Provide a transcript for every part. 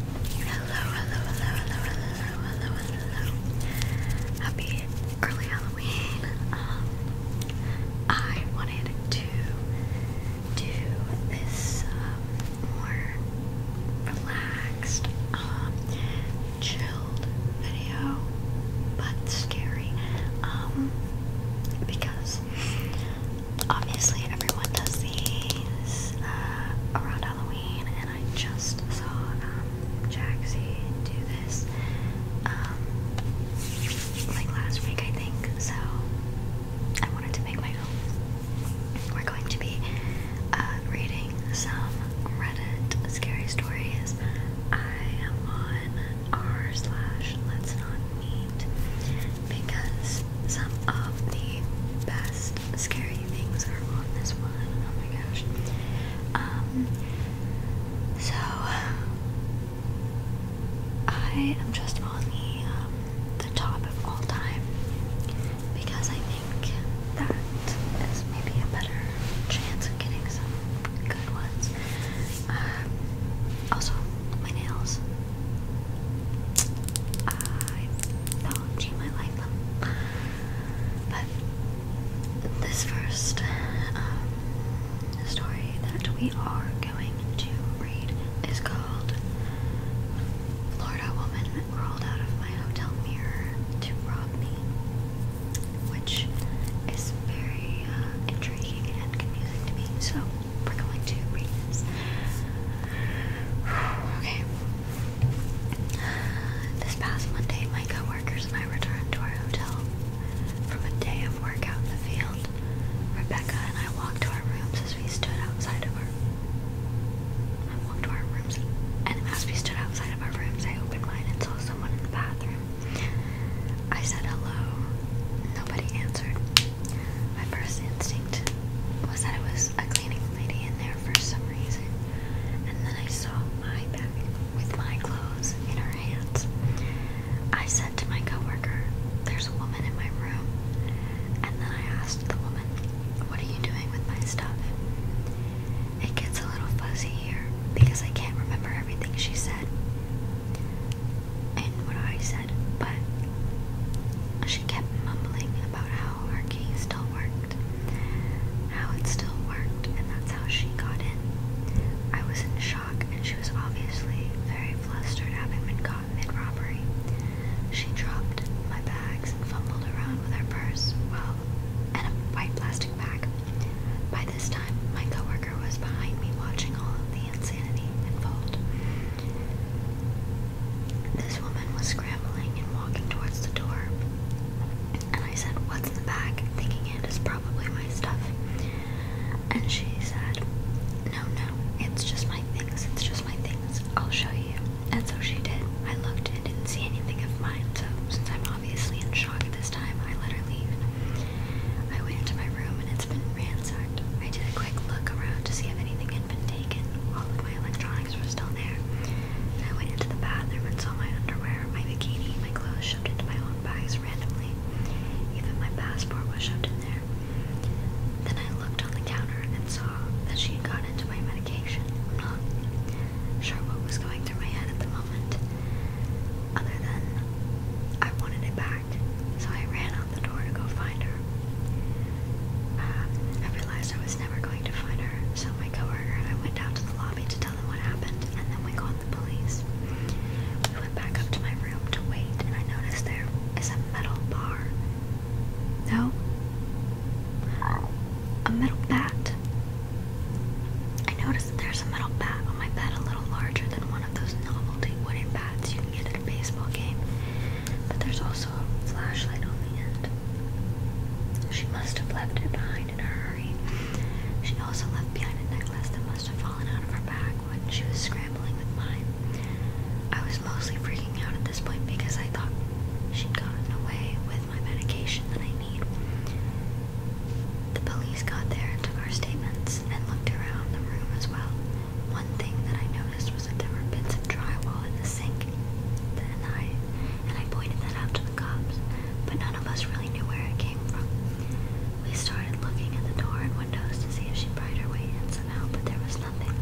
Hello, hello, hello, hello, hello, hello, hello. Happy early Halloween. Um, I wanted to do this um, more relaxed, um, chilled video, but scary. Um, because obviously everyone does these uh, around Halloween, and I just saw um, Jaxie do this um, like last week, I think. So I wanted to make my own. We're going to be uh, reading some Reddit scary stories. I am on r slash let's not meet because some of the best scary things are on this one. Oh my gosh. Um, so, I am just on the, um, the top of all time because I think that is maybe a better chance of getting some good ones. Um, also, my nails. I've my life, But this first um, story that we are going to read is called "Florida woman Crawled out of my hotel mirror to rob me, which is very uh, intriguing and confusing to me, so we're going to read this okay. This past Monday, my coworkers and I returned to our hotel from a day of work out in the field. Rebecca and I walked to our rooms as we stood outside of our. I walked to our rooms, and as we stood outside of our rooms, I opened mine and saw someone in the bathroom. I said hello. Nobody answered. My first instinct was that it was a cleaning lady in there for some reason. And then I saw my bag with my clothes in her hands. I said to my coworker, There's a woman in my room. And then I asked the woman, What are you doing with my stuff? It gets a little fuzzy here because I can't remember everything she said and what I said, but she kept mumbling about how how her key still worked, how it still worked, and that's how she got in. I was in shock, and she was obviously very flustered having been caught mid robbery. She dropped my bags and fumbled around with her purse, well, and a white plastic bag. By this time, my coworker was behind me watching all of the insanity unfold. This woman was scrambling and walking towards the door, and I said, What's in the bag? thinking it is probably my stuff. And she said, No, no, it's just my things, it's just my things. I'll show you. And so she did. I looked and didn't see anything of mine, so since I'm obviously in shock at this time, I let her leave. I went into my room and it's been ransacked. I did a quick look around to see if anything had been taken. All of my electronics legs were still there. And I went into the bathroom and saw my underwear, my bikini, my clothes shoved into my own bags randomly. Even my passport was shoved in there. Then I looked on the counter and saw that she had got into my medication. I'm not sure what was going through my head at the moment, other than I wanted it back. So I ran out the door to go find her. Uh, I realized I was never going to find her, so my coworker and I went out to the lobby to tell them what happened, and then we called the police. We went back up to my room to wait, and I noticed there is a metal bar. No? A metal bat. I noticed there's a metal bat on my bed a little larger than one of those novelty wooden bats you can get at a baseball game but there's also a flashlight on the end. She must have left it behind in her hurry. She also left behind a necklace that must have fallen out of her bag when she was scrambling with mine. I was mostly freaking out at this point because I thought she'd gotten away with my medication that I need. The police got there and took our statements and looked around the room as well. One thing that I noticed was that there were bits of drywall in the sink and I and I pointed that out to the cops, but none of us really knew where it came from. We started looking at the door and windows to see if she pried her way in somehow, but there was nothing.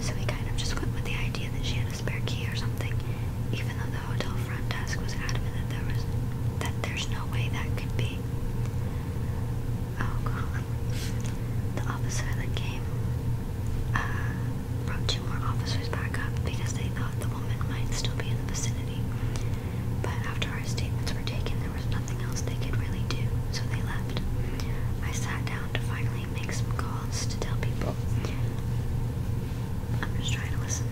So we kind of just went with the idea that she had a spare key or something, even though the hotel front desk was adamant that there was that there's no way that could be. Oh god. The officer that came uh, brought two more officers back up because they thought the woman might still be in the vicinity. But after our statements were taken, there was nothing else they could really do, so they left. I sat down to finally make some calls to tell people. I'm just trying to listen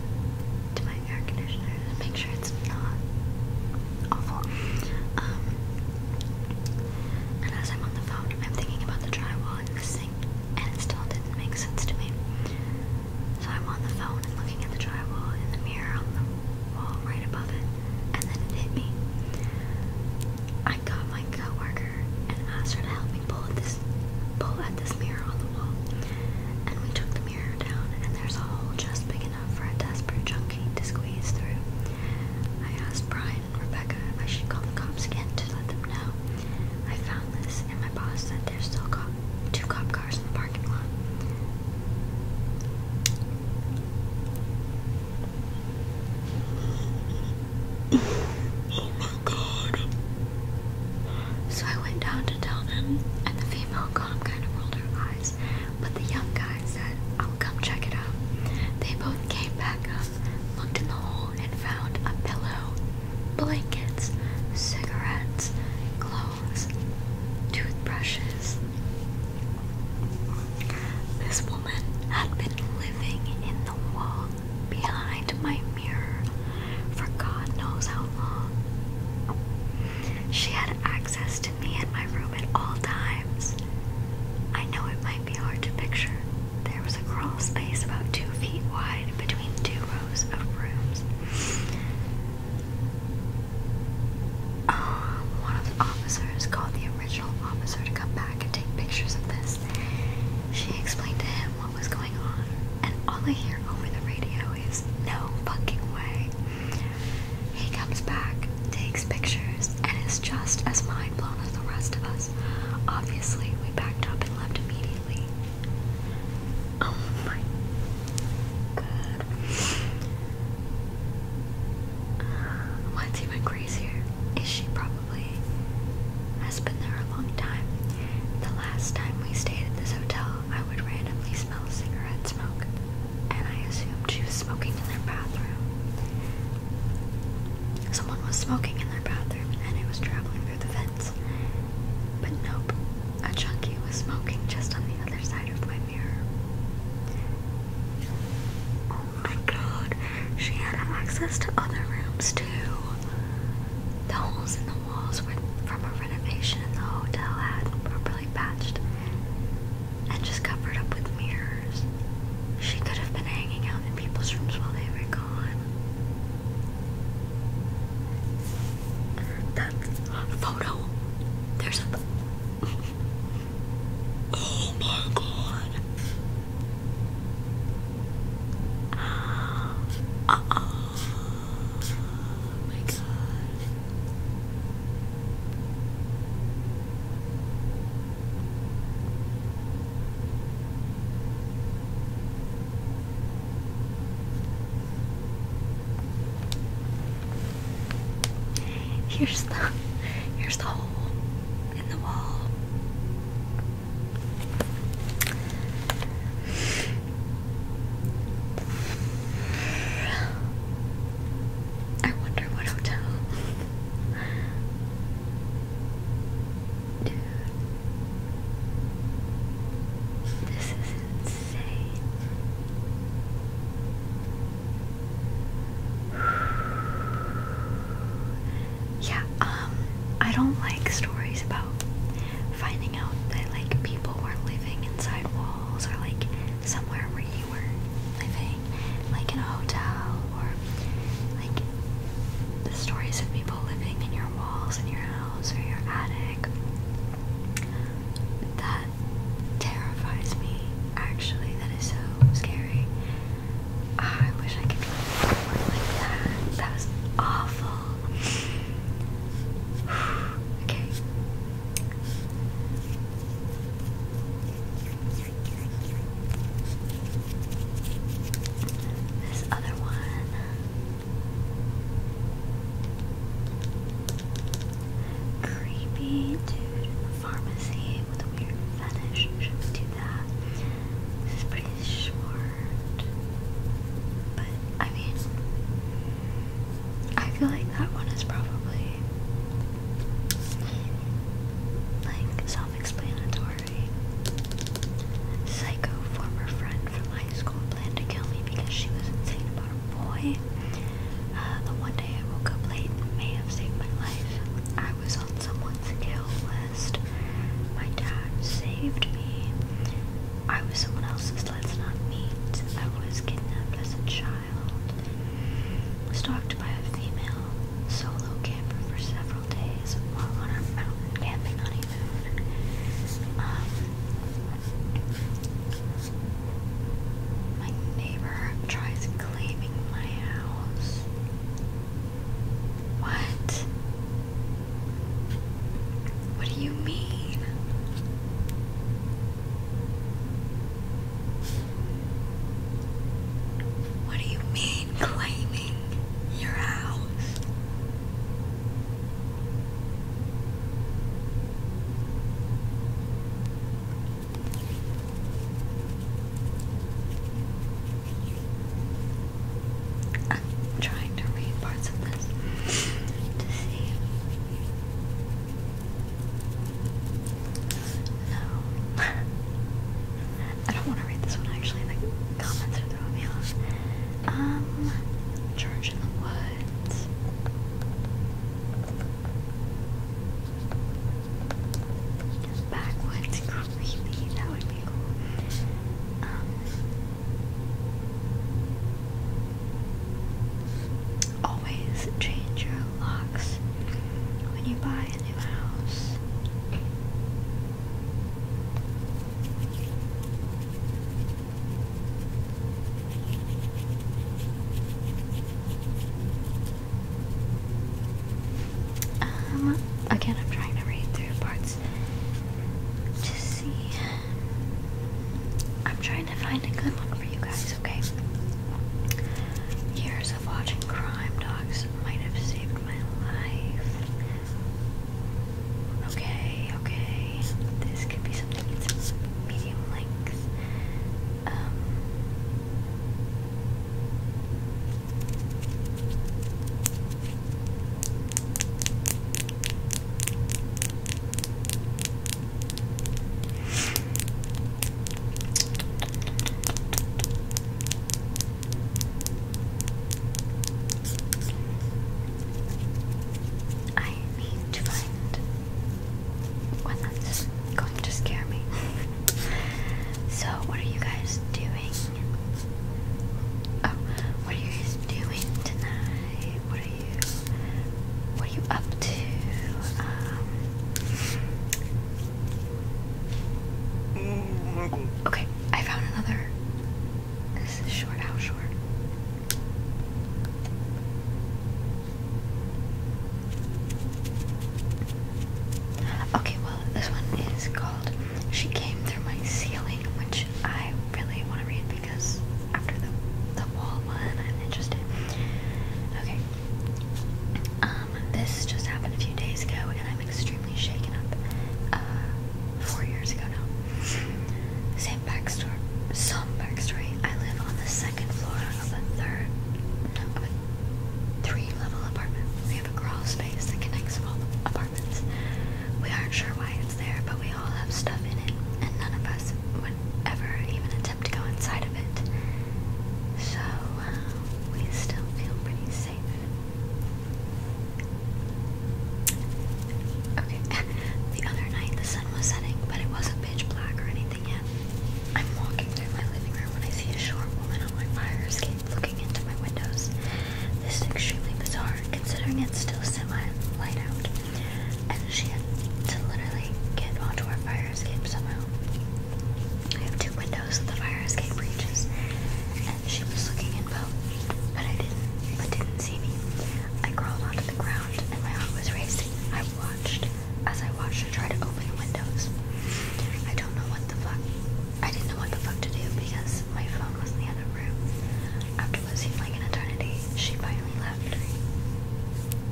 to my air conditioner to make sure it's not awful. Um, and as I'm on the phone, I'm thinking about the drywall relaxing and it still didn't make sense to me. So I'm on the phone and looking at the drywall and the mirror on the wall right above it, and then it hit me. I got my coworker and asked her to help me pull at this pull at this mirror on the wall. And we took the mirror down and there's a hole just big enough for a desperate junkie to squeeze through. I asked Brian Rebecca I should call the cops again to let them know. I found this, and my boss said there's still cop two cop cars in the parking lot. my god. So I went down to tell them, and the female cop kind of rolled her eyes, but the young guy said, I'll come check it out. They both came back up stuff, looked in the hole and found a pillow, blankets, cigarettes, clothes, toothbrushes. This woman had been living in the wall behind my mirror for God knows how long. She had access to me and my room at all times. I know it might be hard to picture, there was a crawl space about two feet wide between two rows of rooms. Um, one of the officers called the original officer to come back and take pictures of this. She explained to him what was going on, and all I hear over the radio is no fucking way. He comes back, takes pictures, and is just as mind blown as the rest of us. Obviously, we backed up and left immediately. Oh my god. What's even crazier is she probably has been there a long time. The last time we stayed at this hotel, I would randomly smell cigarette smoke, and I assumed she was smoking in their bathroom. Someone was smoking in their bathroom and it was traveling through the vents. But nope, a chunky was smoking just on the other side of my mirror. Oh my god, she had access to other rooms too. The holes in the walls were from a renovation the hotel had properly patched and just covered up with mirrors. She could have been hanging out in people's rooms while they were gone. That's photo. There's a. Oh my god. Uh oh my god. Here's the here's the hole in the wall. I wonder what hotel. Dude. This is insane. yeah, um, I don't like stories about finding out that like people were living inside walls or like somewhere where you were living, like in a hotel or like the stories of people living in your walls in your house or your attic. That terrifies me actually. That is so scary. Ah, I wish I could find one like that. That was awful. okay. This other one. Creepy dude pharmacy with a weird fetish. Should we do that? This is pretty short. But I mean I feel like that one is probably like self-explanatory. Murray. Psycho, former friend from high school, planned to kill me because she was insane about a boy. Uh, the one day I woke up late and may have saved my life. I was on someone's kill list. My dad saved me. I was someone else's, let's not meet. I was kidnapped as a child. Stalked by a female solo camper for several um, my neighbor tries claiming my house. What? What do you mean? What do you mean, claiming? leaving your house. I'm trying to read parts of this to see. No. I don't want to read this one actually. The comments are throwing me off. Church um, in the Woods. Backwoods creepy. That would be cool. Um, Always change your locks when you buy a new house. Um, again, I'm trying to read through parts to see. I'm trying to find a good one for you guys, okay? Years of watching crime docs this might have saved my life. Okay, okay. This could be something medium length. Um, I need to find one that's going to scare me. so, what are you guys doing? Oh, what are you guys doing tonight? What are you? What are you up to? Um, mm, mm, mm. okay, I found another. This is short, how short? Okay, well, this one is called She Came Through My Ceiling, which I really want to read because after the, the wall one, I'm interested. Okay. Um, this just happened a few days ago, and I'm extremely shaken up. Uh, four years ago now. Same backstory. Some backstory. I live on the second floor of a third, of a three-level apartment. We have a crawl space that connects all the apartments. We aren't sure why it's there, but we all have stuff in it, and none of us would ever even attempt to go inside of it. So uh, we still feel pretty safe. Okay, the other night the sun was setting, but it wasn't pitch black or anything yet. I'm walking through my living room when I see a short woman on my fire escape looking into my windows. This is extremely bizarre, considering it's still semi-light out, and she had to literally get onto our fire escape somehow. I have two windows that the fire escape reaches, she was looking in both, but I didn't, but didn't see me. I crawled onto the ground, and my heart was racing. I watched as I watched her try to open the windows. I don't know what the fuck. I didn't know what the fuck to do because my phone was in the other room. After what seemed like an eternity, she finally left.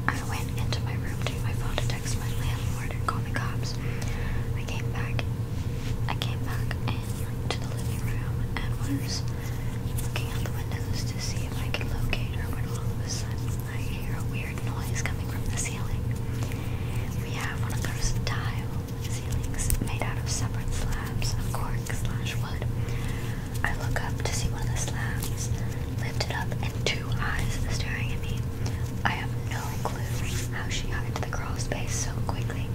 I went into my room to my phone to text my landlord and call the cops. I came back I came back into the living room and was looking out the windows to see if I could locate her when all of a sudden I hear a weird noise coming from the ceiling. We have one of those tile ceilings made out of separate slabs of cork slash wood. I look up to see one of the slabs lifted up and two eyes staring at me. I have no clue how she hides the crawl space so quickly,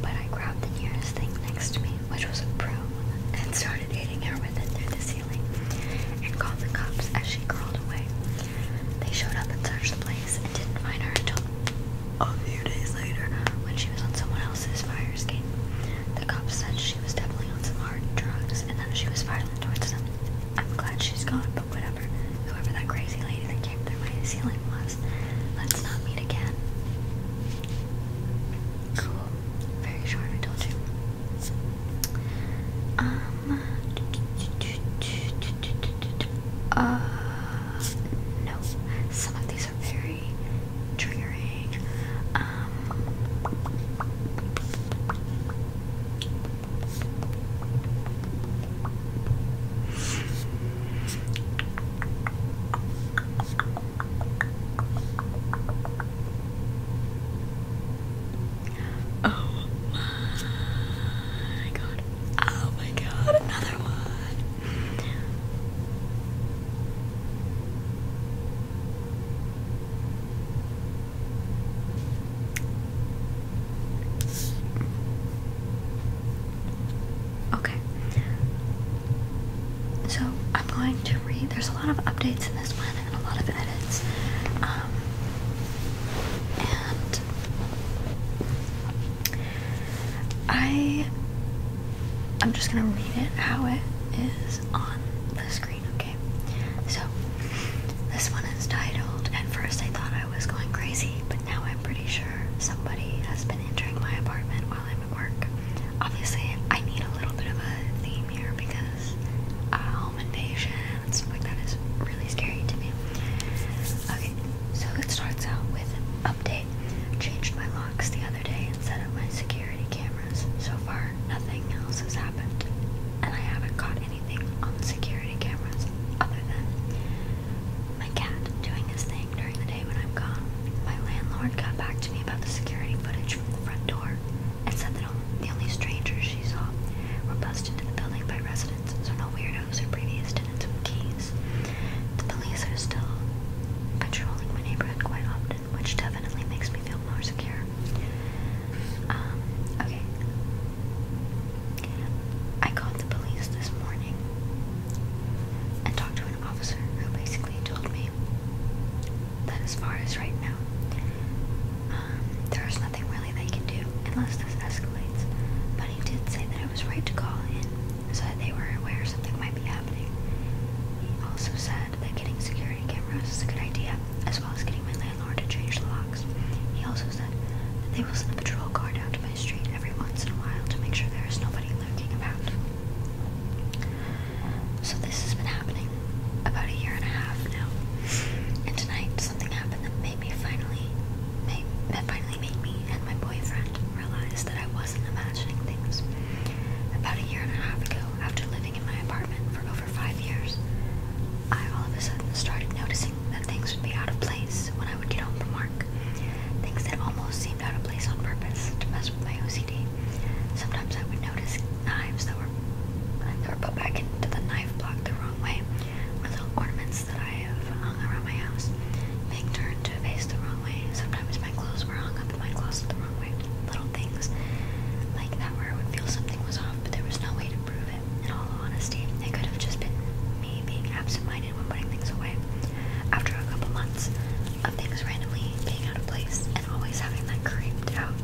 but I grabbed the nearest thing next to me, which was a broom, and started hitting her with it through the ceiling, and called the cops as she crawled away. They showed up and searched the place and didn't find her until a few days later when she was on someone else's fire escape. The cops said she was definitely on some hard drugs and then she was violent towards them. I'm glad she's gone, but whatever. Whoever that crazy lady that came through my ceiling was. Let's not meet again. Cool. Very short, I told you. Um. Uh, no. Some of these are very triggering. Um. Oh my god. Oh my god, another one. Okay. So I'm going to read. There's a lot of updates in this one and a lot of edits. Um, and I, I'm just gonna read it how it is on the screen. Okay. So this one is titled. At first, I thought I was going crazy, but now I'm pretty sure somebody has been entering my apartment while I'm at work. Obviously, I need a little bit of a theme here because uh, home invasion and that is really scary to me. Okay, so it starts out with update. Changed my locks the other day and set up my security cameras. So far, nothing else has happened, and I haven't caught anything on the security cameras other than my cat doing his thing during the day when I'm gone. My landlord got back to me about the security footage from the front door and said that all the only strangers she saw were bussed into the building by residents, so no weirdos or previous tenants with keys. The police are still patrolling my neighborhood quite often, which definitely makes me feel more secure. Um, okay. I called the police this morning and talked to an officer who basically told me that, as far as right now, um, there is nothing really they can do unless this escalates. But he did say that it was right to call in so that they were aware something might be happening. He also said that getting security cameras is a good idea, as well as getting my landlord to change the locks. He also said that they will send a patrol car down to my street every once in a while to make sure there is nobody lurking about. So this has been happening about a year and a half now. And tonight something happened that made me finally made, that finally made me and my boyfriend realize that I wasn't imagining things. About a year and a half ago, after living in my apartment for over five years, I all of a sudden started noticing that things would be out of place when I would get home from work things that almost seemed out of place on purpose to mess with my OCD. Sometimes I would notice knives that were that were put back into the knife block the wrong way, or little ornaments that I have hung around my house being turned to face the wrong way. Sometimes my clothes were hung up in my closet the wrong way. Little things like that where I would feel something was off, but there was no way to prove it. In all honesty, it could have just been me being absent-minded when putting things away. After a couple months of things randomly being out of place and always having that creeped out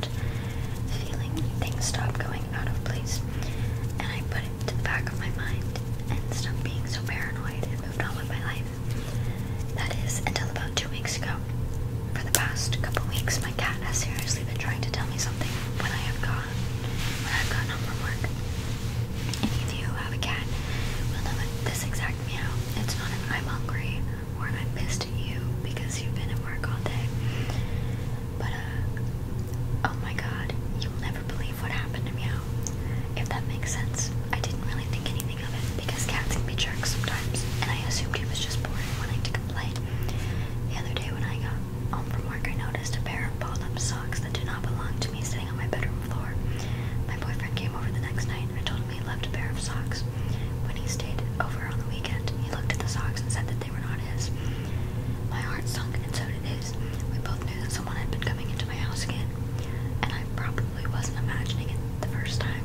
feeling, things stopped going out of place, and I put it to the back of my mind and stopped being so paranoid and moved on with my life. That is until about two weeks ago. For the past couple weeks, my cat has seriously been trying to tell me something when I have gone got I've gotten from work. Any of you have a cat will know this exact meow. It's not an I'm hungry or I'm pissed at you because you've been at work all day. But uh oh my god, you'll never believe what happened to meow. If that makes sense. I didn't really think anything of it because cats can be jerks sometimes and I assumed he was just bored wanting to complain. The other day when I got home from work I noticed a pair of balled up socks that did not belong to to me sitting on my bedroom floor. My boyfriend came over the next night and told him he left a pair of socks. When he stayed over on the weekend, he looked at the socks and said that they were not his. My heart sunk, and so did his. We both knew that someone had been coming into my house again, and I probably wasn't imagining it the first time.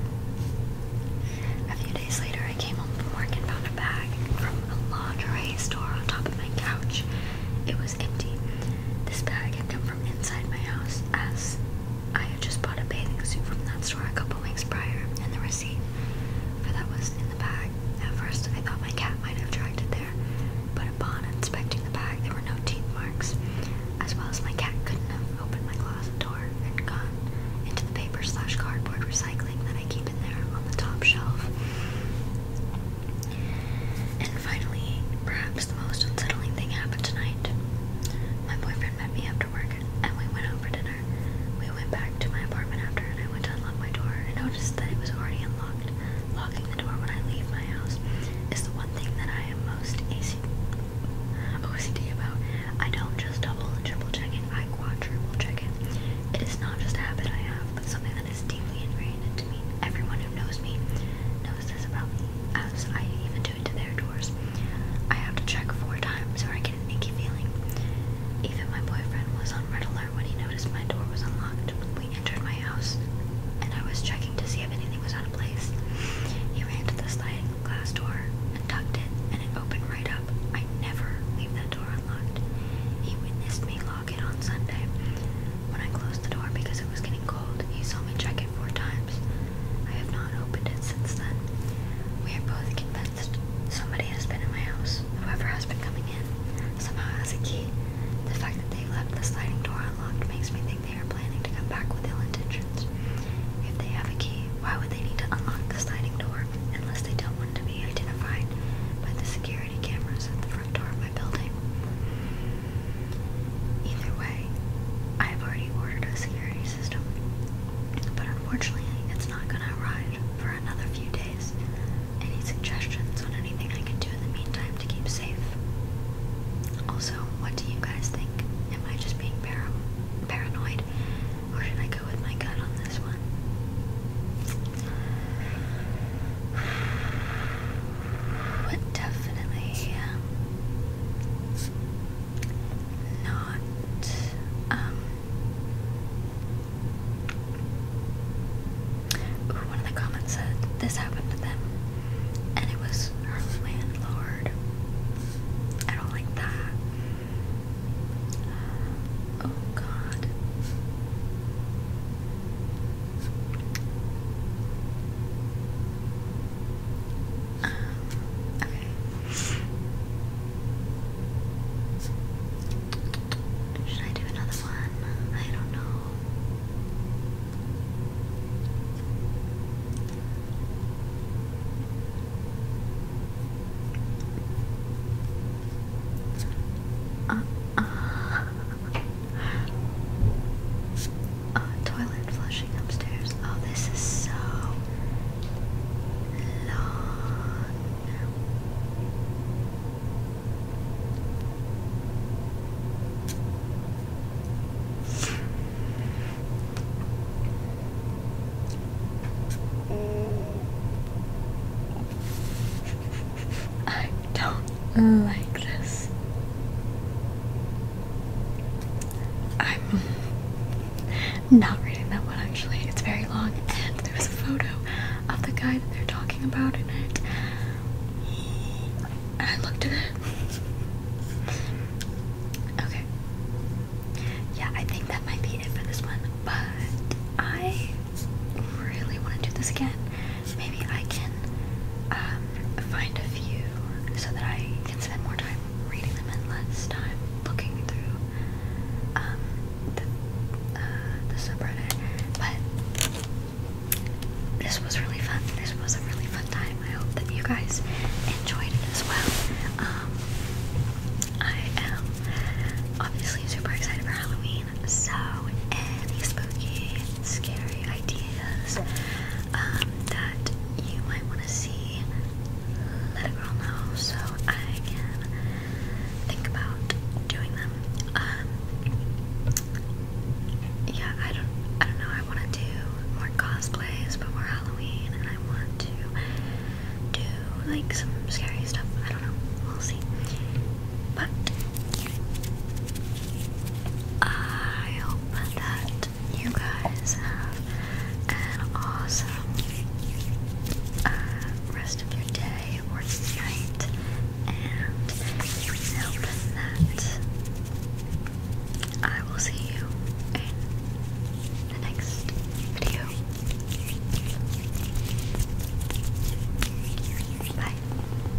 A few days later, I came home from work and found a bag from a lingerie store on top of my couch. It was empty, this bag had come from inside my house, as I had just bought a bathing suit from that store a couple weeks prior, and the receipt for that was in the bag. At first, I thought my cat might have dragged it there, but upon inspecting the bag, there were no teeth marks, as well as my cat couldn't have opened my closet door and gone into the paper slash cardboard recycling that I keep in there on the top shelf. And finally, perhaps the most unsettling thing happened tonight. My boyfriend met me after work and we went out for dinner. We went back to my apartment after and I went to unlock my door and noticed that it was already unlocked. Locking the door when I leave my house is the one thing that I am most OCD about. I don't just double and triple check it, I quadruple check it. It is not just a habit I have but something that is deeply ingrained to me. Everyone who knows me knows this about me, as I even do it to their doors. I have to check four times or I get an icky feeling. Even my boyfriend was on red alert when he noticed my door was unlocked. We entered my house and I was checking to see if anything was out of place. He ran to the sliding glass door and tugged it and it opened right up. I never leave that door unlocked. He witnessed me lock log in on Sunday. When I closed the door because it was getting cold, he saw me check it four times. I have not opened it since then. We are both convinced somebody has been in my house, whoever has been coming in. Somehow has a key. The fact that they left the sliding door unlocked makes me think they are planning to come back with ill intentions. If they have a key, why would they need to unlock the sliding door unless they don't want to be identified by the security cameras at the front door of my building? Either way, I've already ordered a security system, but unfortunately, it's not going to arrive for another few days. Any suggestions on anything I can do in the meantime to keep safe? Also, what do you guys think? Am I just being para paranoid, or should I go with my gut on this one? would definitely um, not um one of the comments said this happened to them and it was her landlord. I don't like that. Oh god. Um, okay. Should I do another one? I don't know. Uh, uh. Uh, toilet flushing upstairs. Oh, this is so long. Mm. I don't like this. I'm not reading that one actually. It's very long, and there's a photo of the guy that they're talking about in it. And I looked at it. Okay. Yeah, I think that might be it for this one, but I really want to do this again maybe I can um, find a few so that I can spend more time reading them and less time looking through um, uh, the, subreddit. But this was really fun. This was a really fun time. I hope that you guys enjoyed it as well. Um, I am obviously super excited for Halloween. So any spooky, scary ideas um, that you might want to see, let a girl know so I can think about doing them. Um, yeah, I don't, I don't know. I want to do more cosplays before Halloween, and I want to do like some scary stuff. I don't know. We'll see. But I hope that you guys have an awesome uh, rest of your day or night, and hope that I will see you in the next video. Bye.